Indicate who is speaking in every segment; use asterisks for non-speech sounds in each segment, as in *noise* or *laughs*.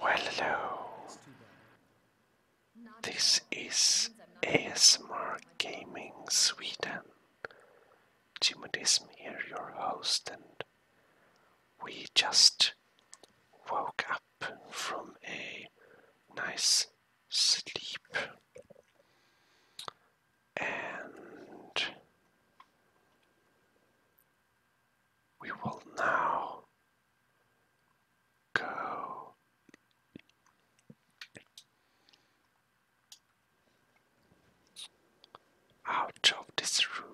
Speaker 1: Well, hello. This is ASMR Gaming Sweden. Jimodism here, your host, and we just woke up from a nice sleep. And we will now go out of this room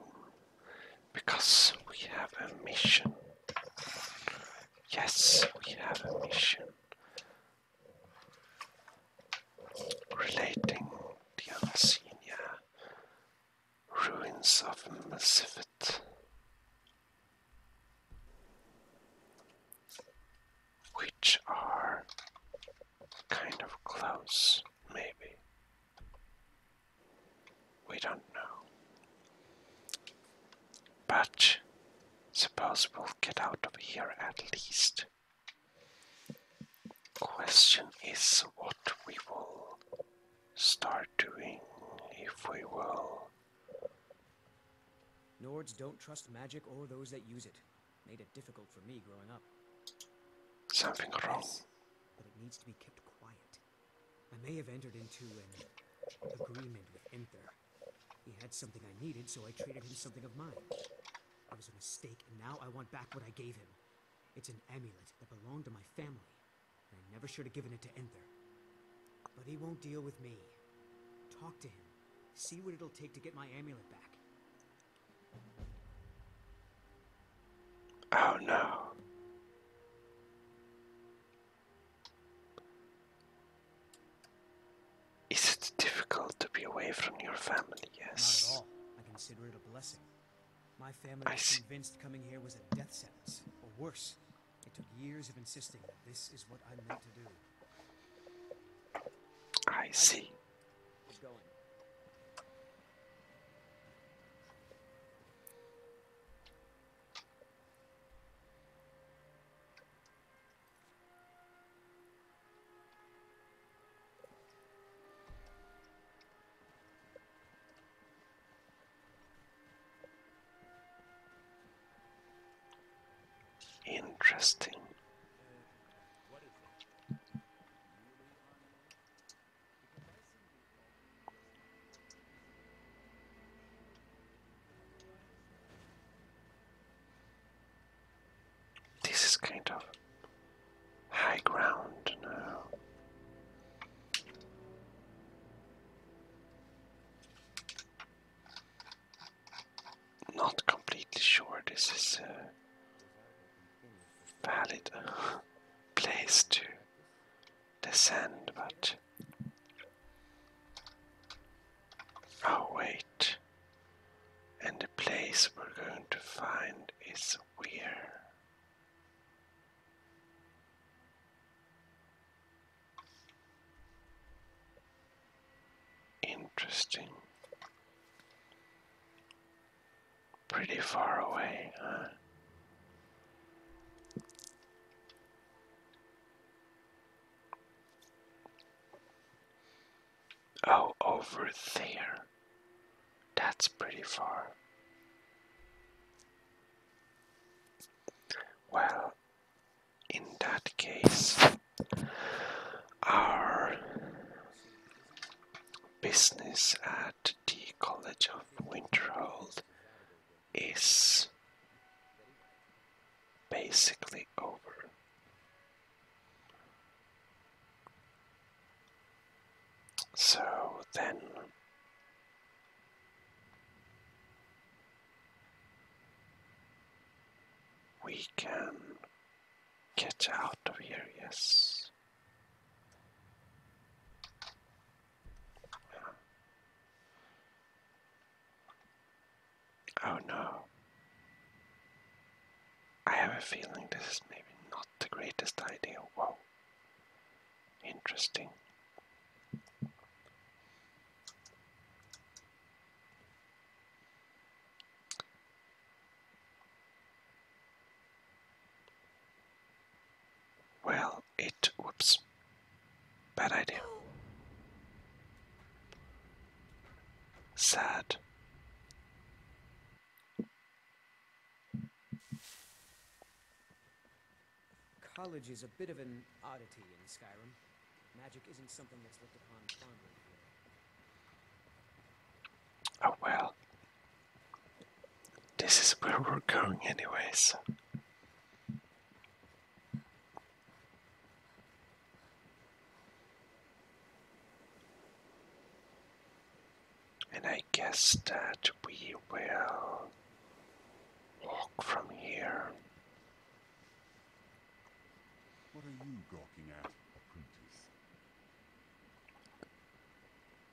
Speaker 1: because we have a mission. Yes, we have a mission relating the unseen, yeah. Ruins of Masifit. Which are kind of close, maybe. We don't know. But suppose we'll get out of here at least question is what we will start doing if we will. Nords don't trust magic or those that use it. Made it difficult for me growing up. Something wrong. but it needs to be kept quiet. I may have entered into an agreement with Inther. He had something I needed, so I traded him something of mine. It was a mistake, and now I want back what I gave him. It's an amulet that belonged to my family. And I never should have given it to Enther. But he won't deal with me. Talk to him. See what it'll take to get my amulet back. Oh no. Is it difficult to be away from your family? Yes. Not at all. I consider it a blessing. My family was convinced coming here was a death sentence, or worse. It took years of insisting that this is what I meant to do. I see. Interesting. This is kind of High ground, no. Not completely sure this is a valid uh, place to descend, but. Oh, wait. And the place we're going to find is weird. Interesting. Pretty far away, huh? Oh, over there. That's pretty far. Well, in that case, our business at the College of Winterhold is basically over. So then. We can get out of here, yes. Oh no. I have a feeling this is maybe not the greatest idea. Whoa. Interesting. Well, it. Whoops. Bad idea. Sad. College is a bit of an oddity in Skyrim. Magic isn't something that's looked upon fondly here. Oh well. This is where we're going anyways. And I guess that we will walk from here. What are you gawking at, apprentice?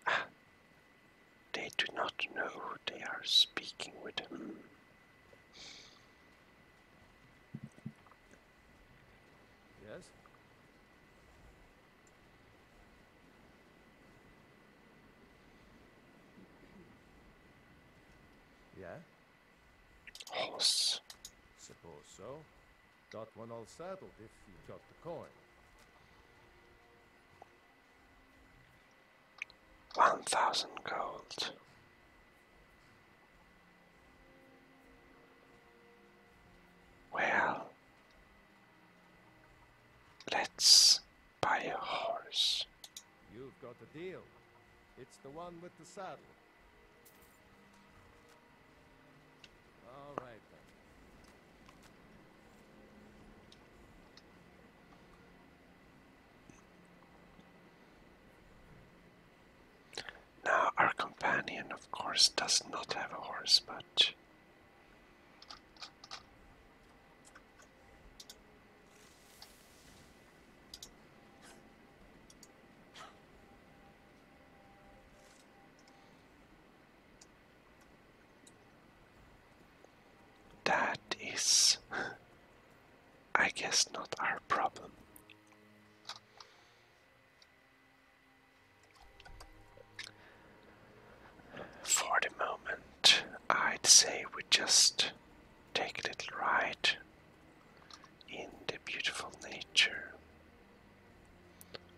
Speaker 1: Ah, they do not know they are speaking with him. Yes? Yeah? Horse. Suppose so. Got one all saddled if you got the coin. One thousand gold. Well, Let's buy a horse. You've got a deal. It's the one with the saddle. All right Now, our companion, of course, does not have a horse, but that is, I guess, not our problem. For the moment, I'd say we just take a little ride in the beautiful nature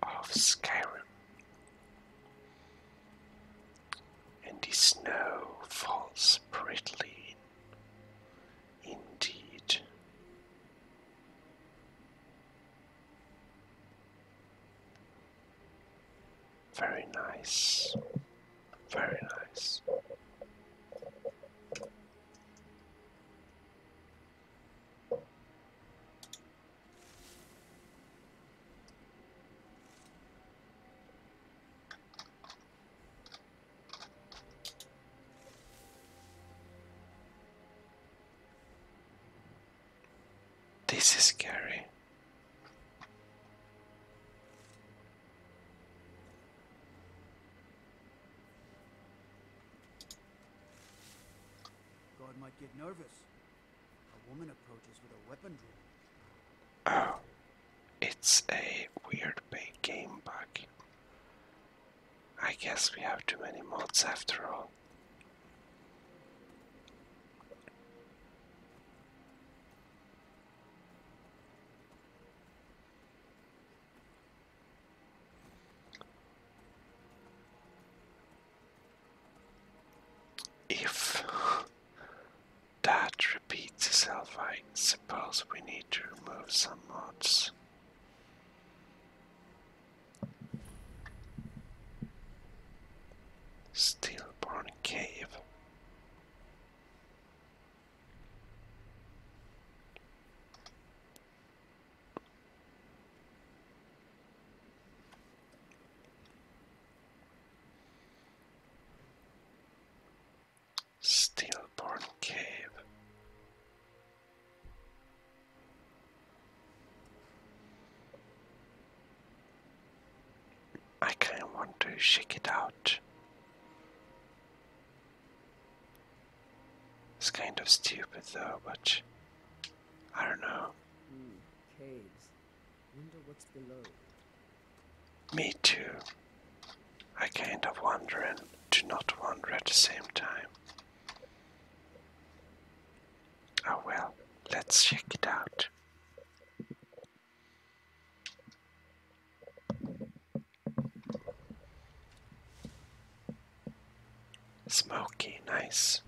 Speaker 1: of Skyrim. And the snow falls prettily indeed. Very nice. Very nice. This is scary. God might get nervous. A woman approaches with a weapon drawn. Oh, it's a weird big game bug. I guess we have too many mods after all. If that repeats itself, I suppose we need to remove some mods. Stillborn Cave. Stillborn Cave. I kind of want to shake it out. It's kind of stupid though, but I don't know. Hmm, caves. Wonder what's below. Me too. I kind of wonder and do not wonder at the same time. Oh well, let's check it out. Smoky, nice.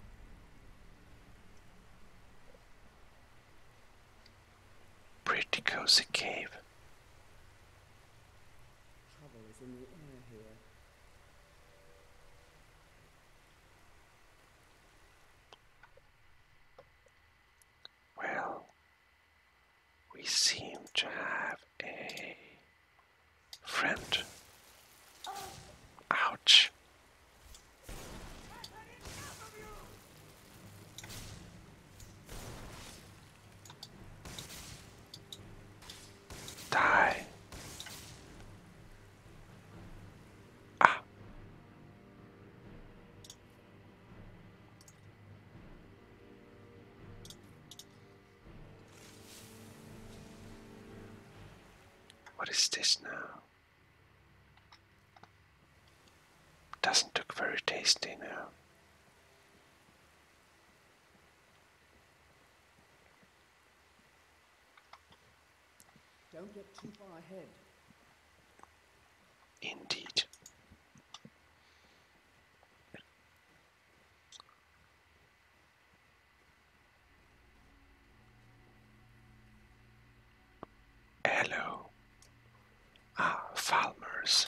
Speaker 1: Pretty cozy cave. Well, we seem to have a friend. Ouch. Die. Ah. What is this now? Doesn't look very tasty now. Don't get too far ahead. Indeed. Hello. Ah, Falmers.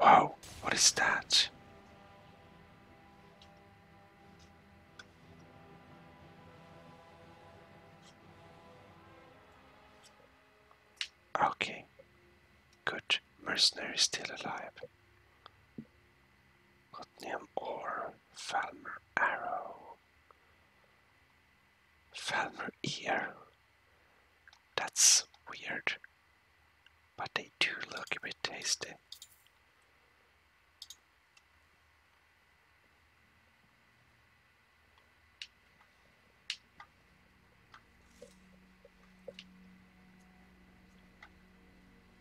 Speaker 1: Wow, what is that? Okay, good. Mercenary still alive. Gottniam or Falmer Arrow. Falmer ear. That's weird. But they do look a bit tasty.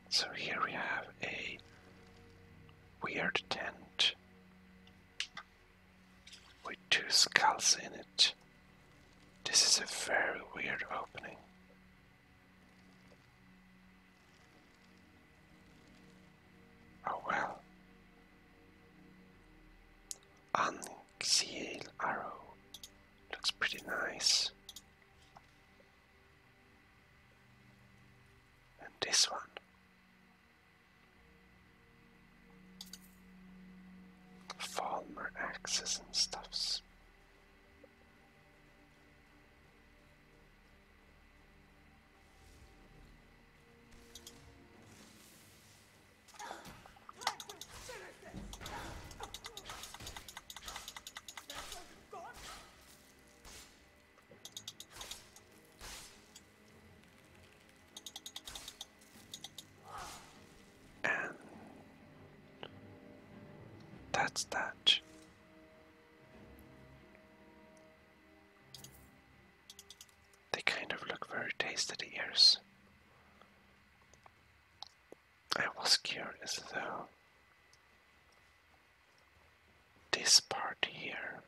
Speaker 1: So here we have a weird tent with two skulls in it. This is a very weird opening. Oh well. Unsealed arrow. Looks pretty nice. And this one. Falmer axes and stuffs. And that's that. They kind of look very tasty, ears. I was curious though this part here.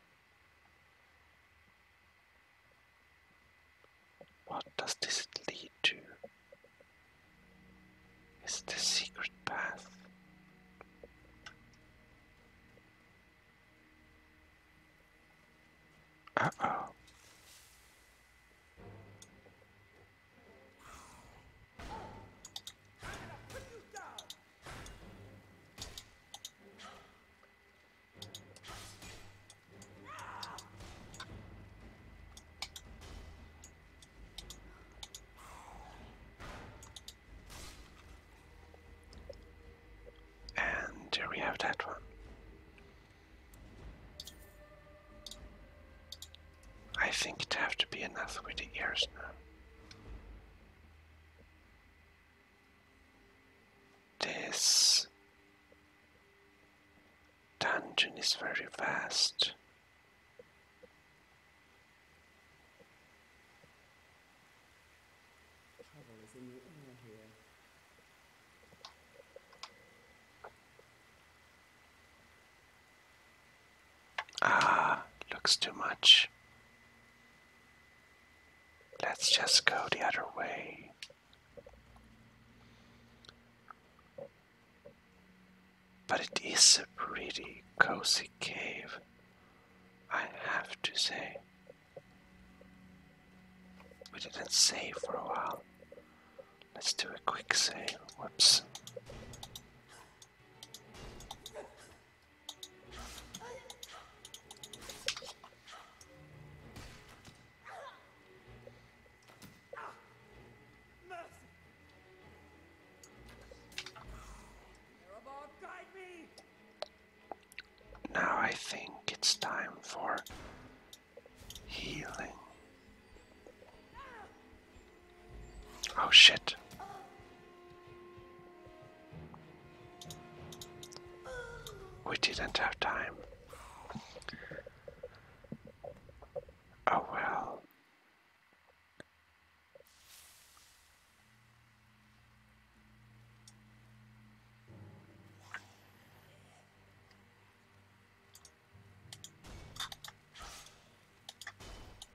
Speaker 1: What does this lead to? Is the secret path? Uh oh. And we have that one. I think it'd have to be enough with the ears now. This dungeon is very vast. Ah, looks too much. Let's just go the other way. But it is a pretty cozy cave, I have to say. We didn't save for a while. Let's do a quick save. Whoops. Now I think it's time for healing. Oh shit. We didn't have time. Oh well.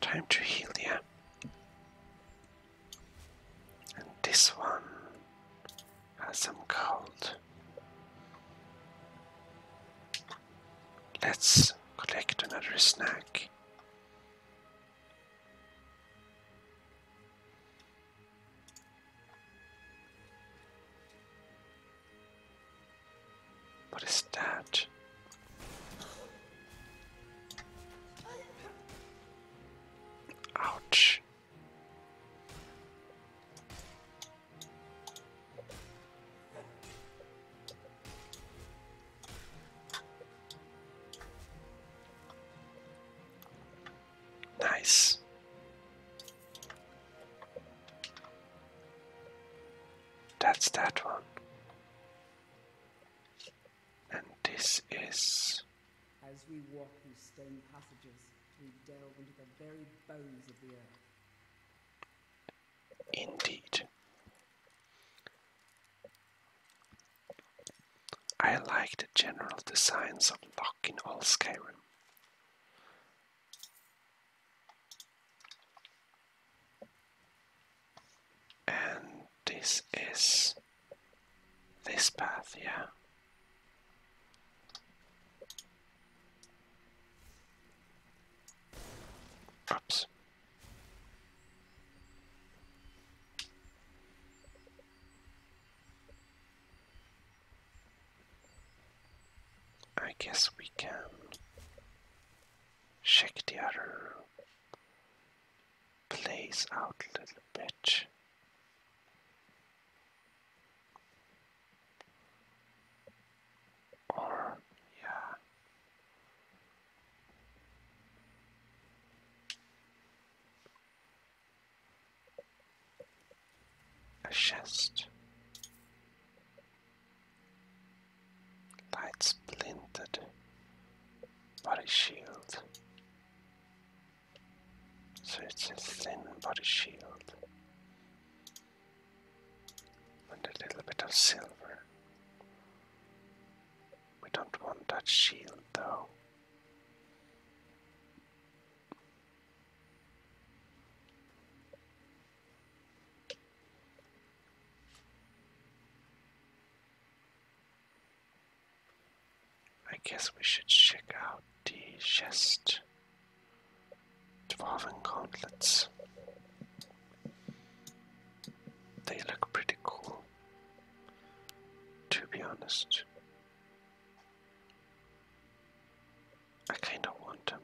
Speaker 1: Time to heal you. And this one has some gold. Let's collect another snack. What is that? Ouch. Nice. That's that one. And this is. As we walk through stone passages, we delve into the very bones of the earth. Indeed. I like the general designs of Lock in all Skyrim. And this is this path, yeah. Oops. I guess we can check the other place out a little bit. Or, yeah. A chest. Light splintered. Body shield. So it's a thin body shield. And a little bit of silver. We don't want that shield though. I guess we should check out the chest. Dwarven gauntlets. They look pretty cool, to be honest. I kind of want them.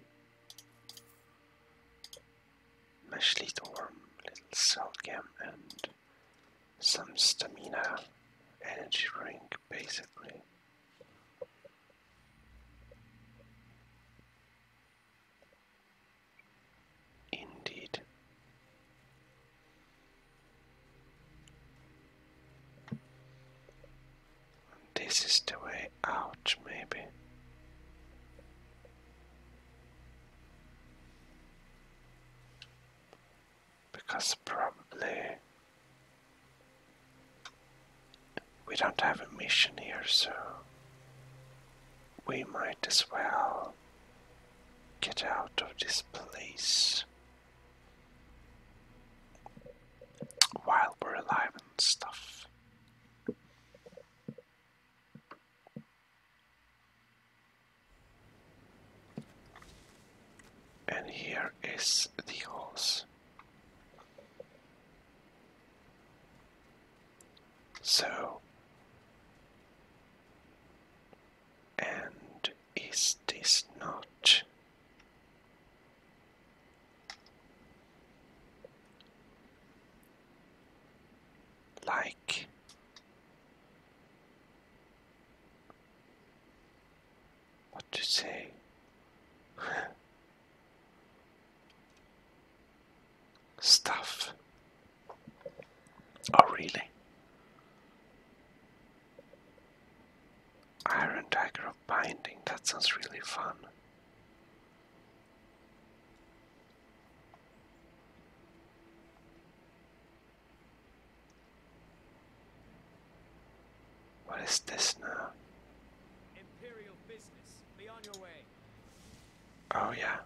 Speaker 1: Meshlitorm, Little Selgem, and some stamina energy drink basically. Indeed. This is the way out, maybe. Because probably we don't have a mission here, so we might as well get out of this place while we're alive and stuff. And here is the horse. So, and is this not like what to say *laughs* stuff oh really iron dagger of binding that sounds really fun what is this now? Imperial business. Be on your way. Oh yeah.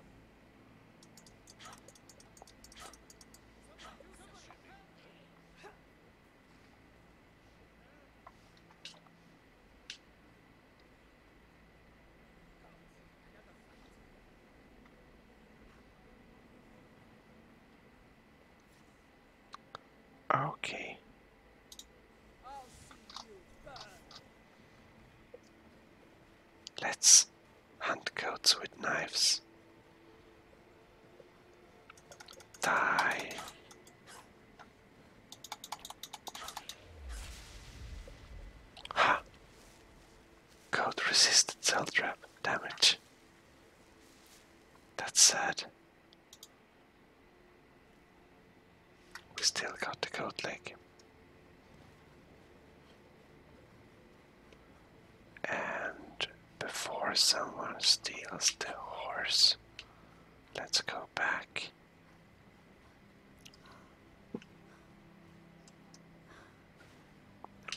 Speaker 1: Okay. Let's hunt goats with knives. Die. Ha! Code resisted cell trap damage. That's sad. We still got the code leg. And before someone steals the horse, let's go back.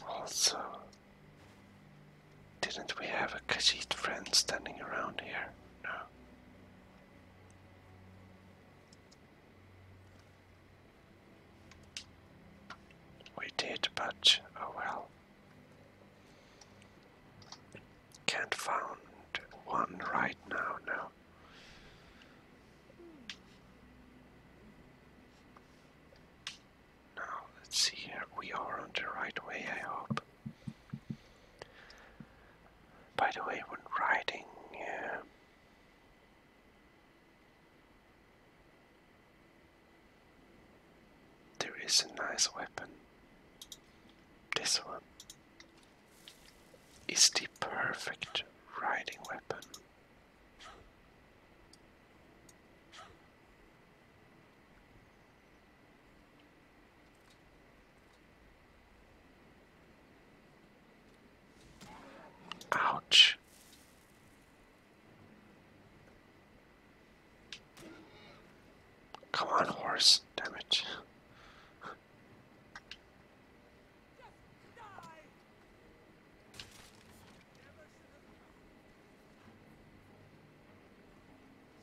Speaker 1: Also, didn't we have a Khajiit friend standing around here? No. We did, but oh well. Can't find one right now, no. Now, let's see here. We are on the right way, I hope. By the way, when riding. there is a nice weapon. This one is the perfect riding weapon. Ouch. Come on, horse, damn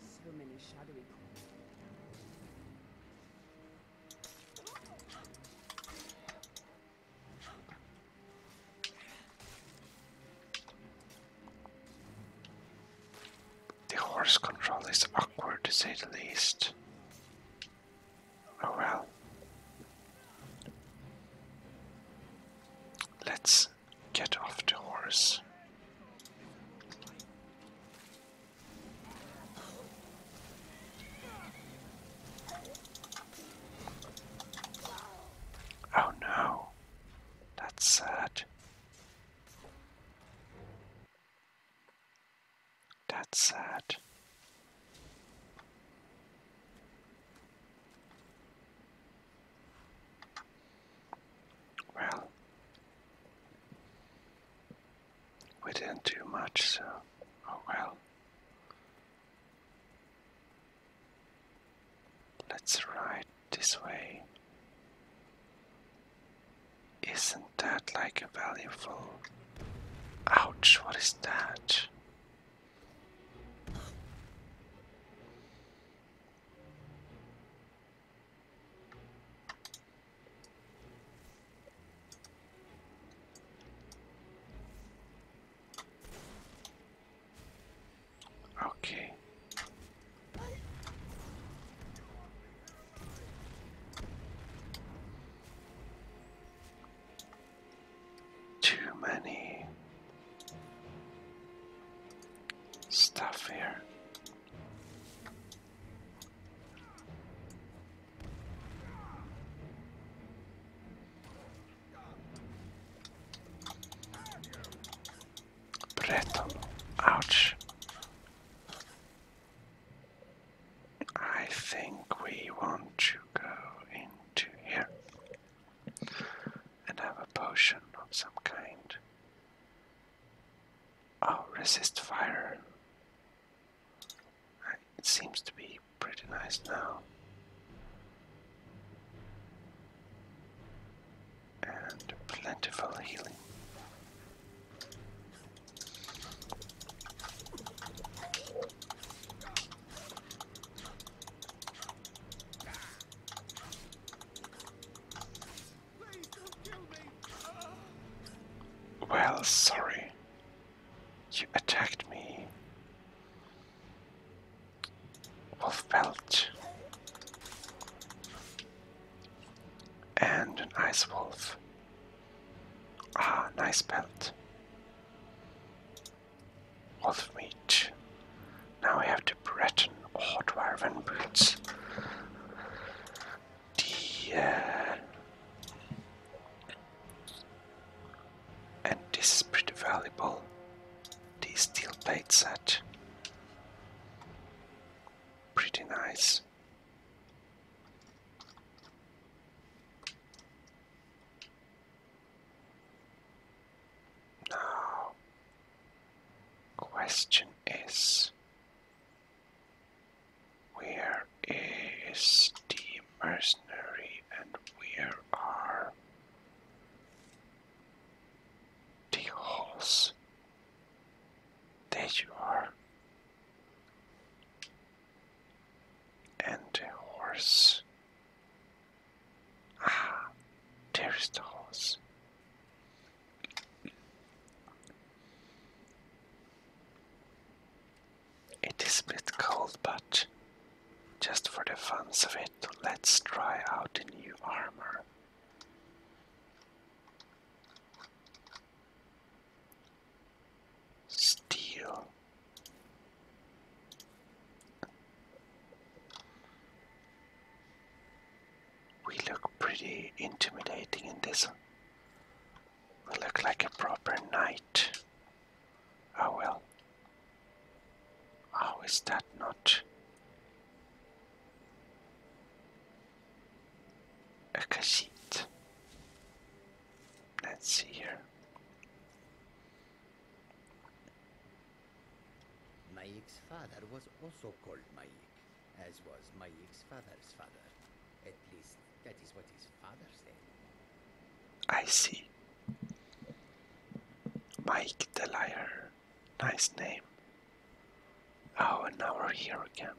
Speaker 1: so many shadowy The horse control is awkward to say the least. Oh well. Let's get off the horse. Oh no, that's sad. That's sad. Well, we didn't do much, so oh well. Let's ride this way. Isn't that like a valuable... Ouch, what is that? Okay. Too many stuff here. Breton, ouch. I think we want to go into here and have a potion of some kind. Oh, resist fire. It seems to be pretty nice now. And plentiful healing. Well, sorry. You attacked me. Wolf belt And an ice wolf. Ah, nice belt. All the meat. Now we have the Breton Hardwireven boots. The uh, and this is pretty valuable. The steel plate set. Pretty nice. Now, question is, where is the mercenary and where are the holes? There you are. And a horse. Ah, there is the horse. It is a bit cold, but just for the funs of it, let's try out the new armor. Steel. We look pretty intimidating in this. We look like a proper knight. Oh well. How is that not a cassette? Let's see here. Maik's father was also called Maik, as was Maik's father's father. At least that is what his father said. I see. Mike the Liar. Nice name. Oh, and now we're here again.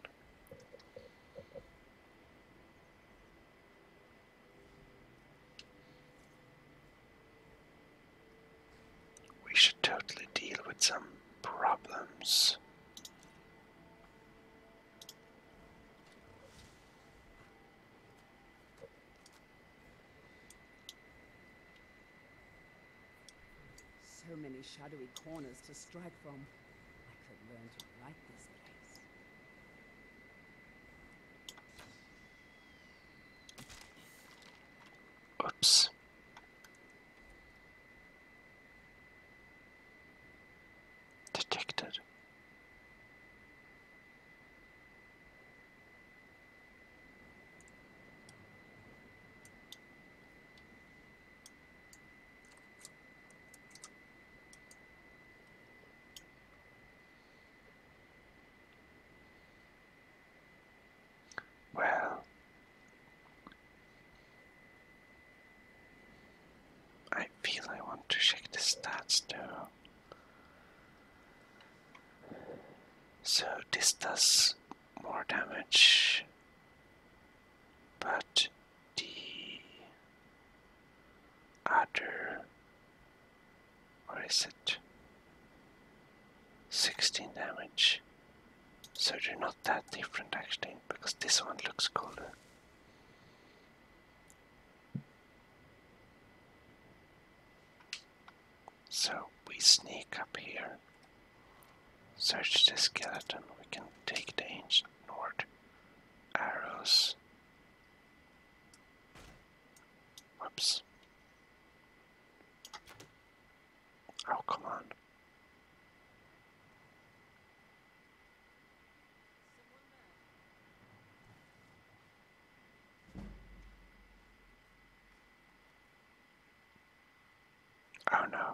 Speaker 1: We should totally deal with some problems. So many shadowy corners to strike from. I could learn to like this place. Oops. Detected. Well, I feel I want to check the stats too. So this does more damage, but the other, or is it 16 damage? So they're not that different actually, because this one looks cooler. So we sneak up here, search the skeleton, we can take the ancient north arrows. Oops. Oh, come on. Oh no.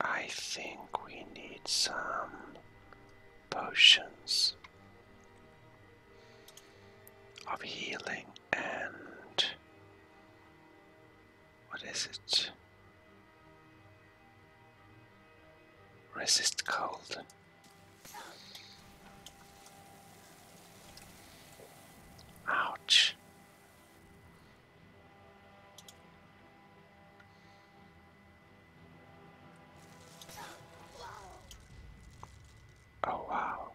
Speaker 1: I think we need some potions of healing and what is it? Resist cold. Ouch. Oh, wow.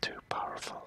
Speaker 1: Too powerful.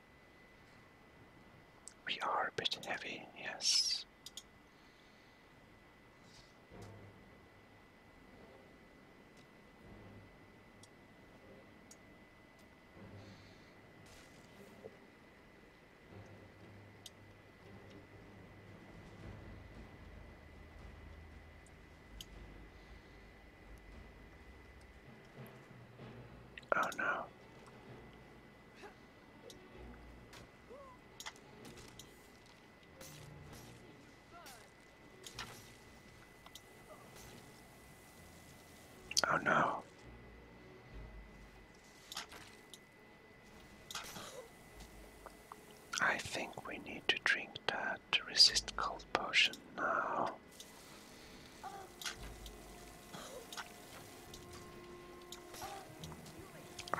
Speaker 1: we are a bit heavy, yes. Oh no. Oh no. I think we need to drink that resist cold potion now.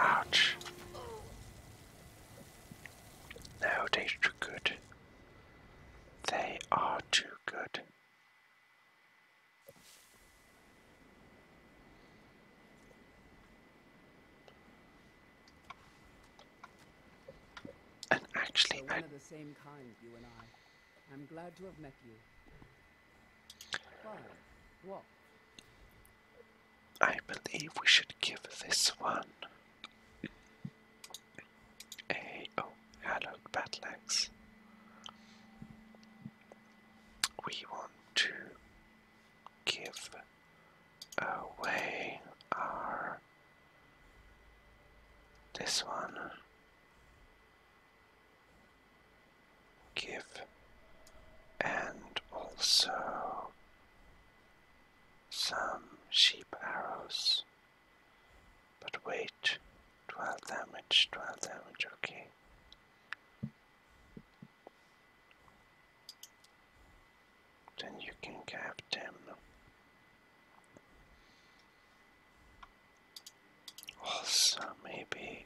Speaker 1: Ouch. No, they're too good. They are too good. And actually, We're one of the same kind, you and I. I'm glad to have met you. What? I believe we should give this one a oh hello We want to give away our this one give and also some sheep arrows. But wait, 12 damage, 12 damage, okay. Then you can cap them. Also, maybe.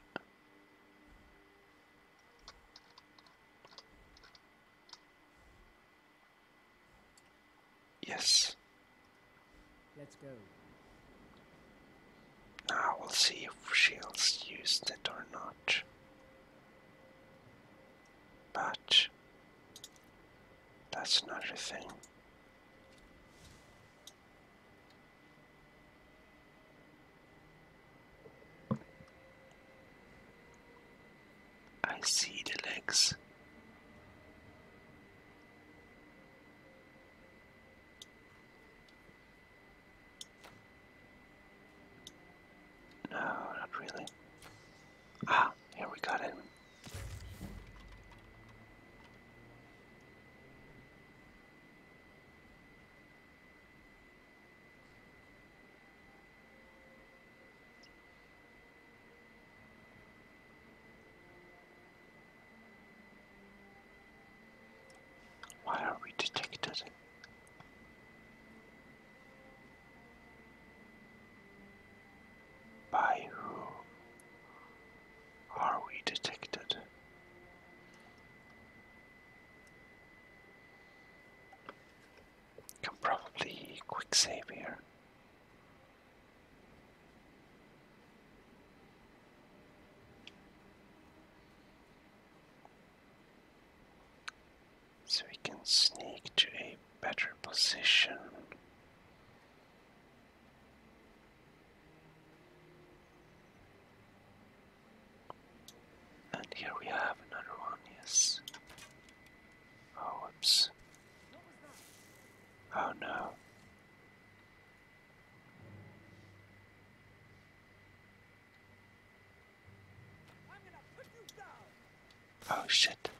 Speaker 1: Yes. Let's go. Now we'll see if she'll use it or not. But that's not another thing. I see the legs. No, not really. Ah, here we got it. Why are we detected? By whom are we detected? Can probably quick save here. So we can sneak to a better position and here we have another one, yes. Oh, Oh no. Oh shit.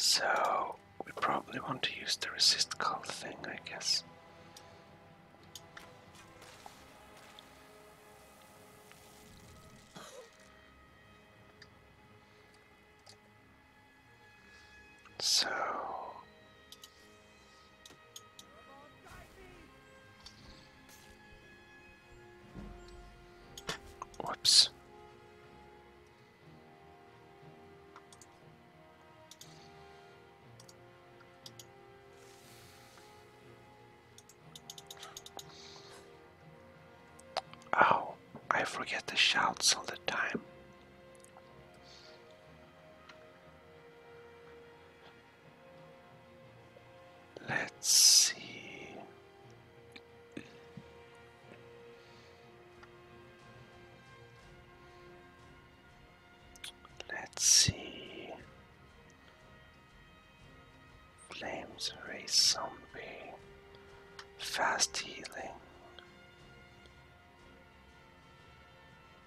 Speaker 1: So we probably want to use the resist call thing, I guess. So Oops. Oh, I forget the shouts all the time. Let's see. Let's see. Flames race zombie. Fast healing.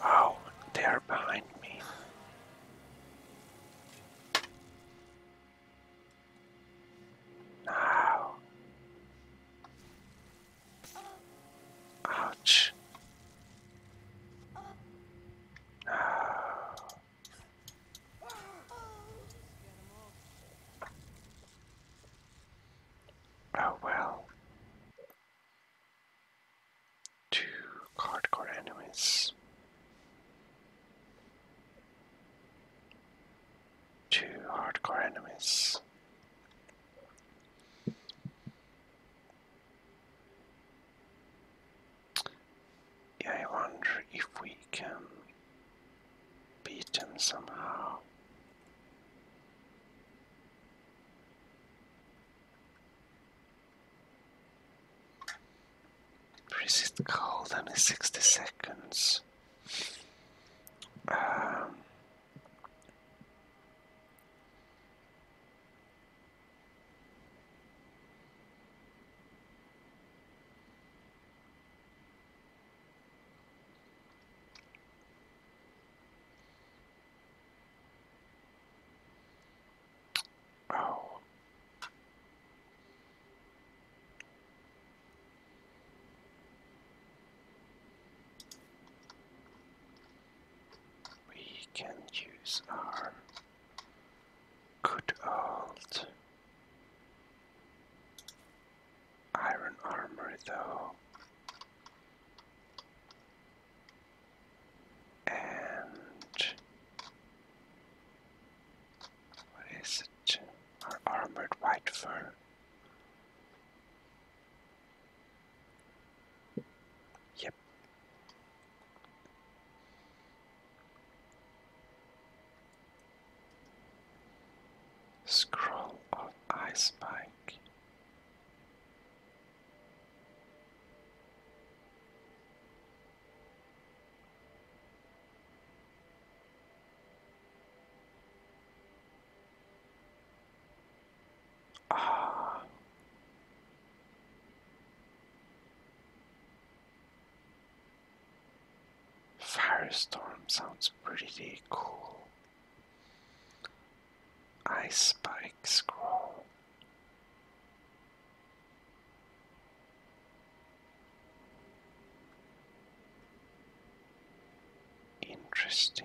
Speaker 1: Oh, they are behind me. Now. Ouch. No. Oh well. Two hardcore enemies. Two hardcore enemies. Yeah, I wonder if we can beat them somehow. Resist the cold only 60 seconds. Um, Oh. We can use our good old iron armor though. And what is it? Our armored white fur. Yep. Scroll of Ice Spike. Ah. Firestorm sounds pretty cool. Ice spike scroll. Interesting.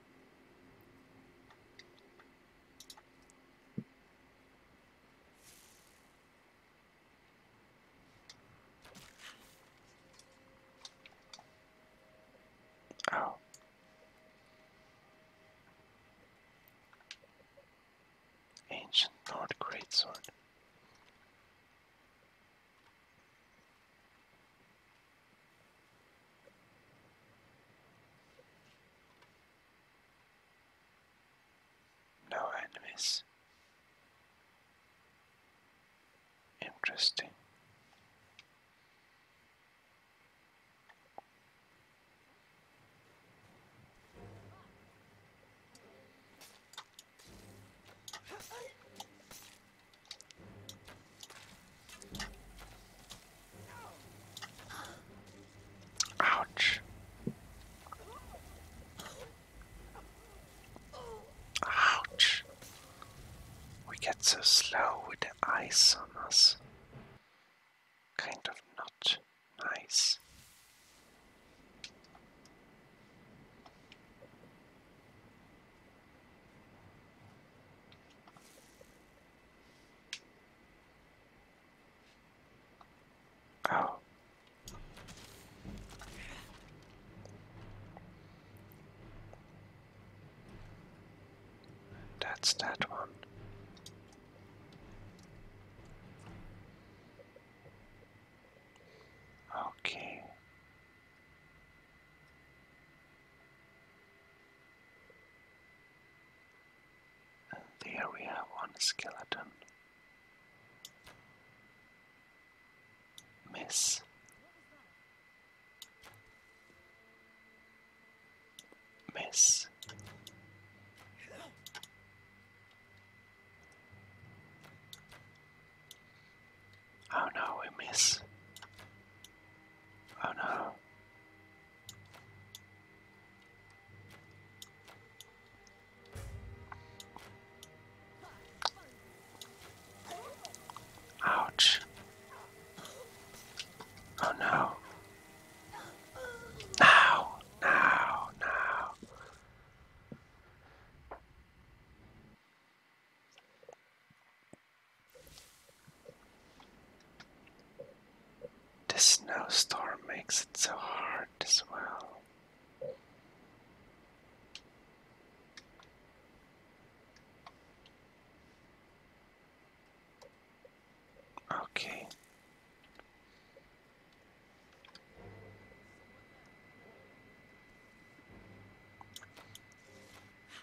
Speaker 1: Oh. Ancient Lord Greatsword. No enemies. Interesting. Ouch. Ouch. We get so slow with the ice on us. Kind of not nice. Oh. That's that one. Okay. And there we have one skeleton. Miss. Miss. Oh no, we miss. Oh no. Ouch. Oh no. Now, now, now. The snowstorm makes it so hard as well. Okay.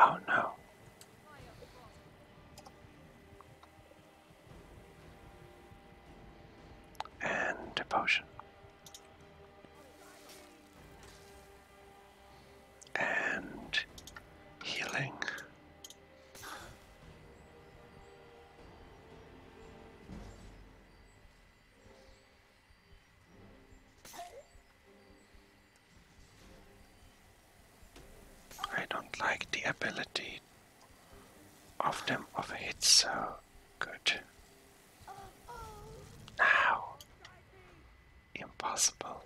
Speaker 1: Oh no. And a potion and healing. I don't like the ability of them of hit so good. Now impossible.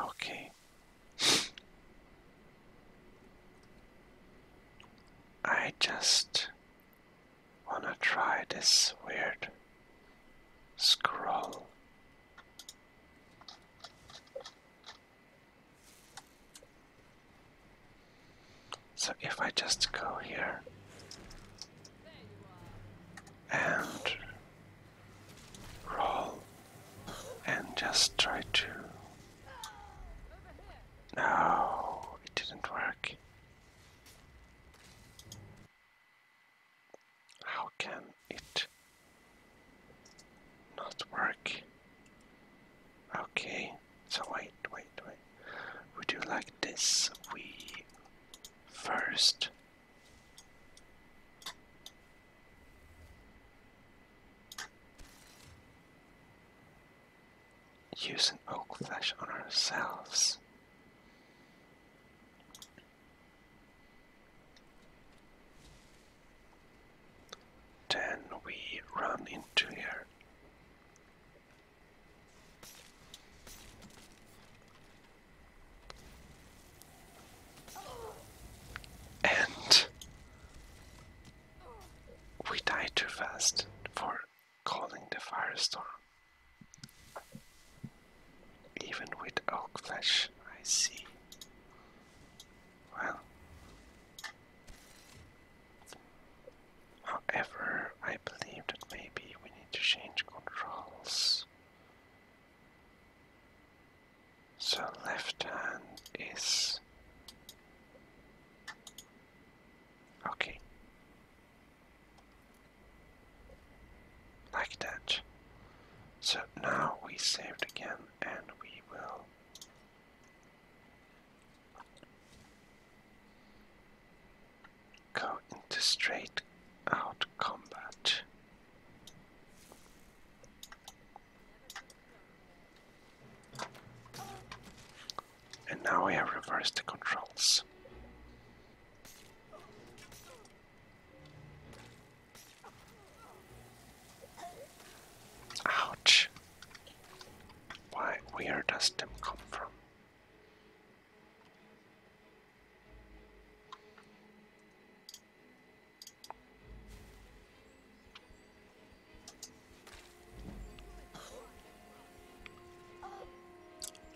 Speaker 1: Okay. I just wanna try this weird scroll. So if I just go here and roll and just try to. No, it didn't work. How can it not work? Okay, so wait, wait, wait. Would you like this. We first. Use an oak flesh on ourselves. Then we run into her. And we died too fast for calling the firestorm. Even with elk flesh, I see. Well, However, I believe that maybe we need to change controls. So left hand is okay. Like that. So now we saved again and we will go into straight out combat. And now I have reversed the controls. Ouch. where does them come from?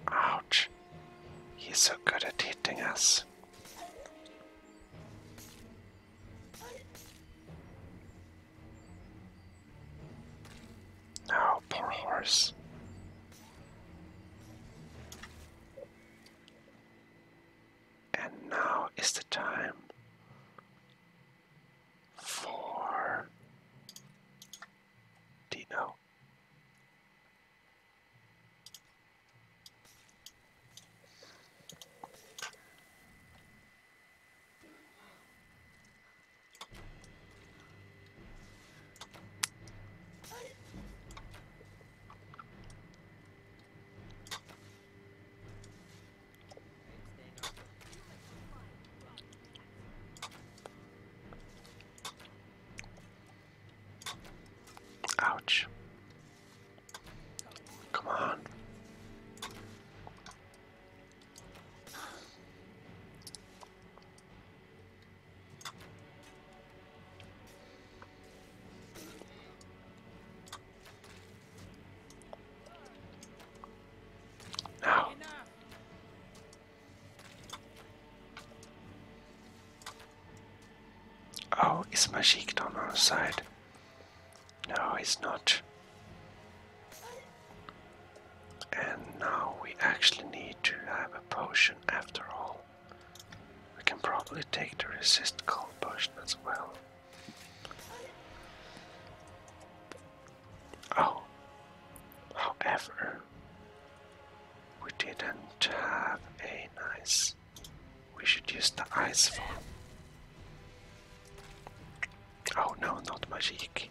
Speaker 1: Ouch. He's so good at hitting us. Oh, poor horse. And now is the time for Dino. Ouch. Come on. Now. Oh, is Majik on our side? No, he's not. And now we actually need to have a potion after all. We can probably take the resist cold potion as well. Oh, however, we didn't have a nice. We should use the ice form. Oh no, not magic.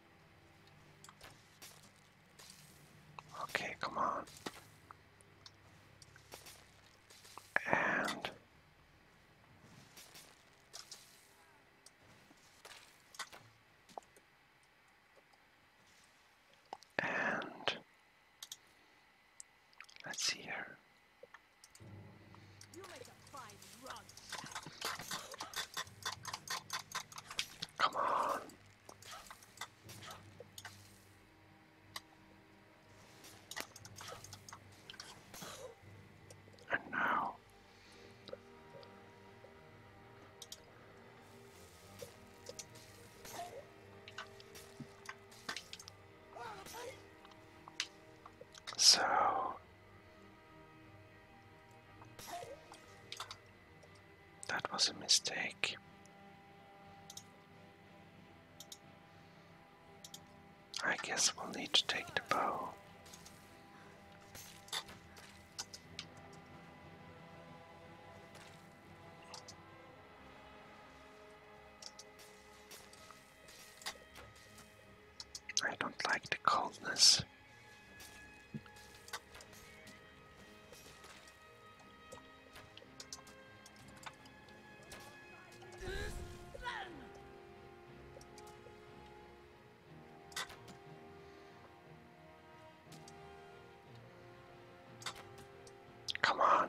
Speaker 1: Okay, come on. And and let's see here. Come on. And now so that was a mistake. I guess we'll need to take the bow. I don't like the coldness. Come on.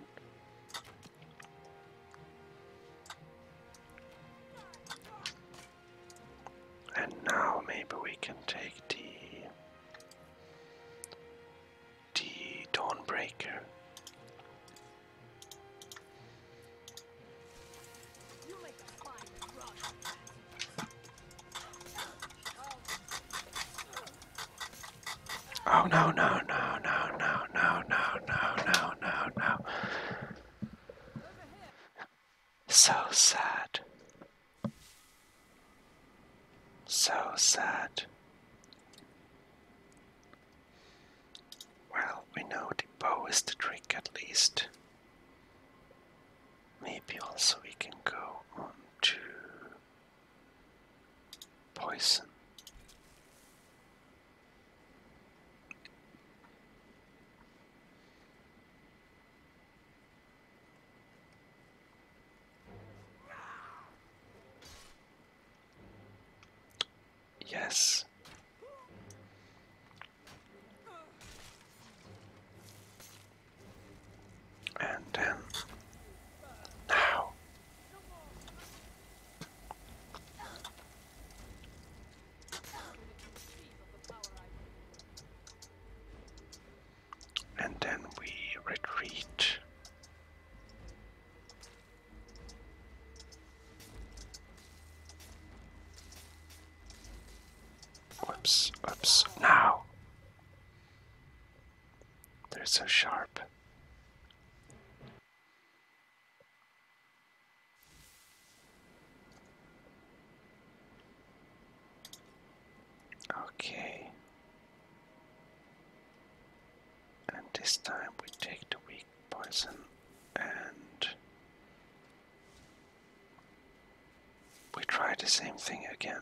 Speaker 1: And now maybe we can take the the Dawnbreaker. Oh no no no no no no no no no no so sad. So sad. Well, we know the bow is the trick at least. Maybe also we can go on to poison. Yes. And then now and then we retreat. Oops, oops, now! They're so sharp. Okay. And this time we take the weak poison and we try the same thing again.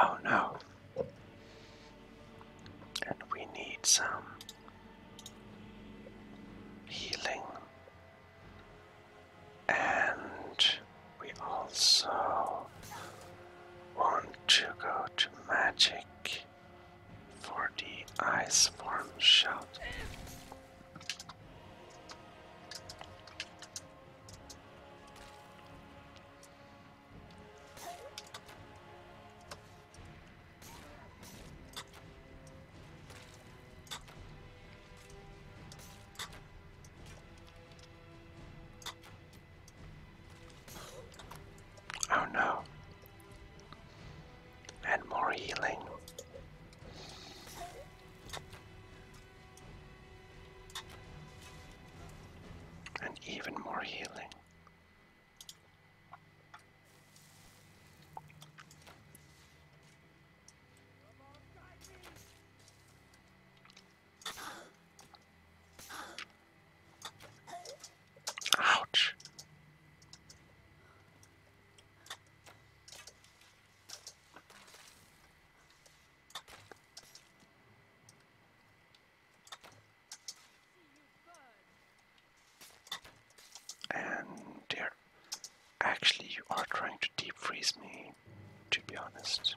Speaker 1: Oh no. And we need some healing. And we also want to go to magic for the ice form shot. Oh no. And more healing. And even more healing. Ouch. And there, actually, you are trying to deep freeze me, to be honest.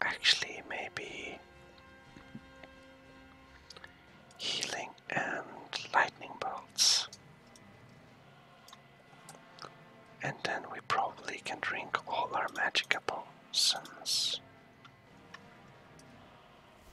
Speaker 1: Actually, maybe healing and lightning bolts. And then we probably can drink all our magic potions.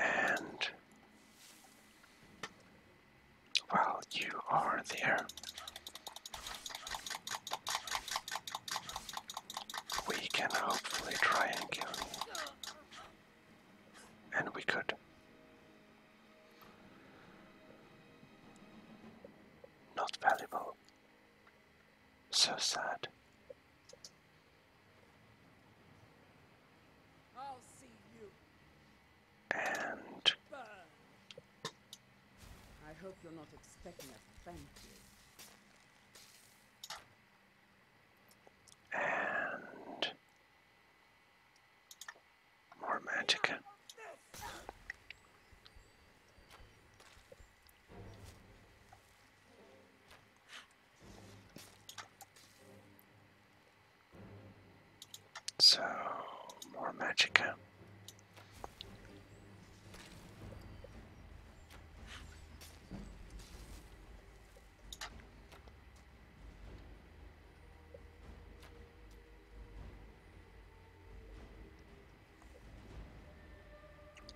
Speaker 1: And while you are there, we can hopefully try and kill you. And we could. Not valuable. So sad. And I hope you're not expecting a thank you. And more magic. So more magic.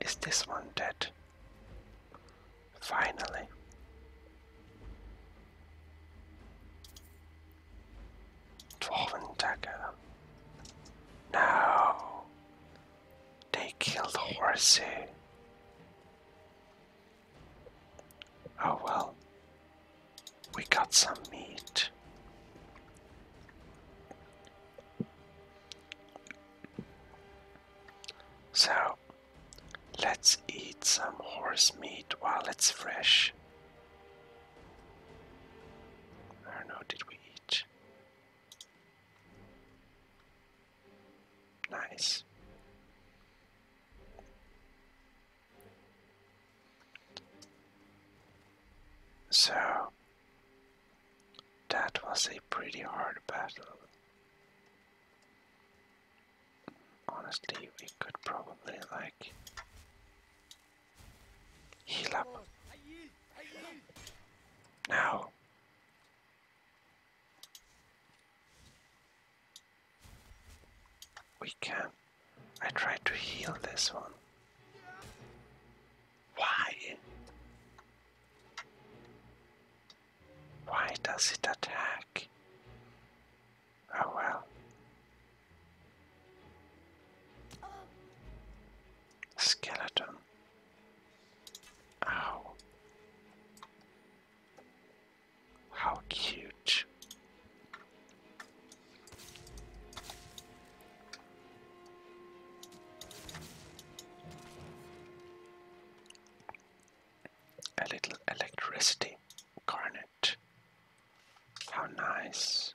Speaker 1: Is this one dead? Finally. Dwarven dagger. No. They killed Horsey. Oh well, we got some meat. So, let's eat some horse meat while it's fresh. I don't know, did we eat? Nice. So, that was a pretty hard battle. Honestly, we could probably like heal up. Now, we can. I tried to heal this one. Why? Why does it attack? Oh well. Skeleton. Ow. How cute. A little electricity garnet. How nice.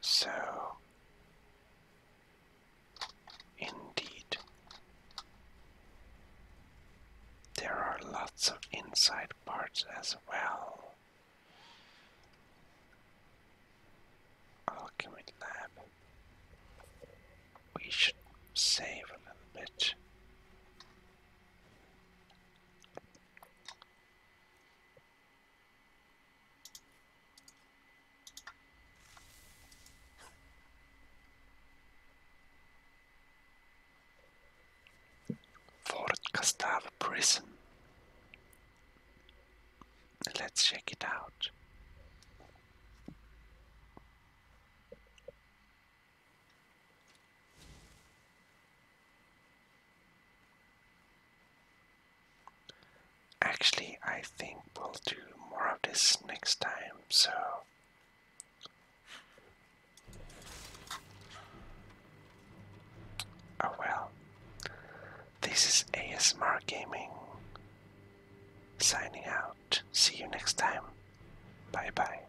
Speaker 1: So, indeed, there are lots of inside parts as well. Alchemy Lab. We should save a little bit. Fort Gustave Prison. Let's check it out. Actually, I think we'll do more of this next time, so. Oh well. This is ASMR Gaming signing out. See you next time. Bye bye.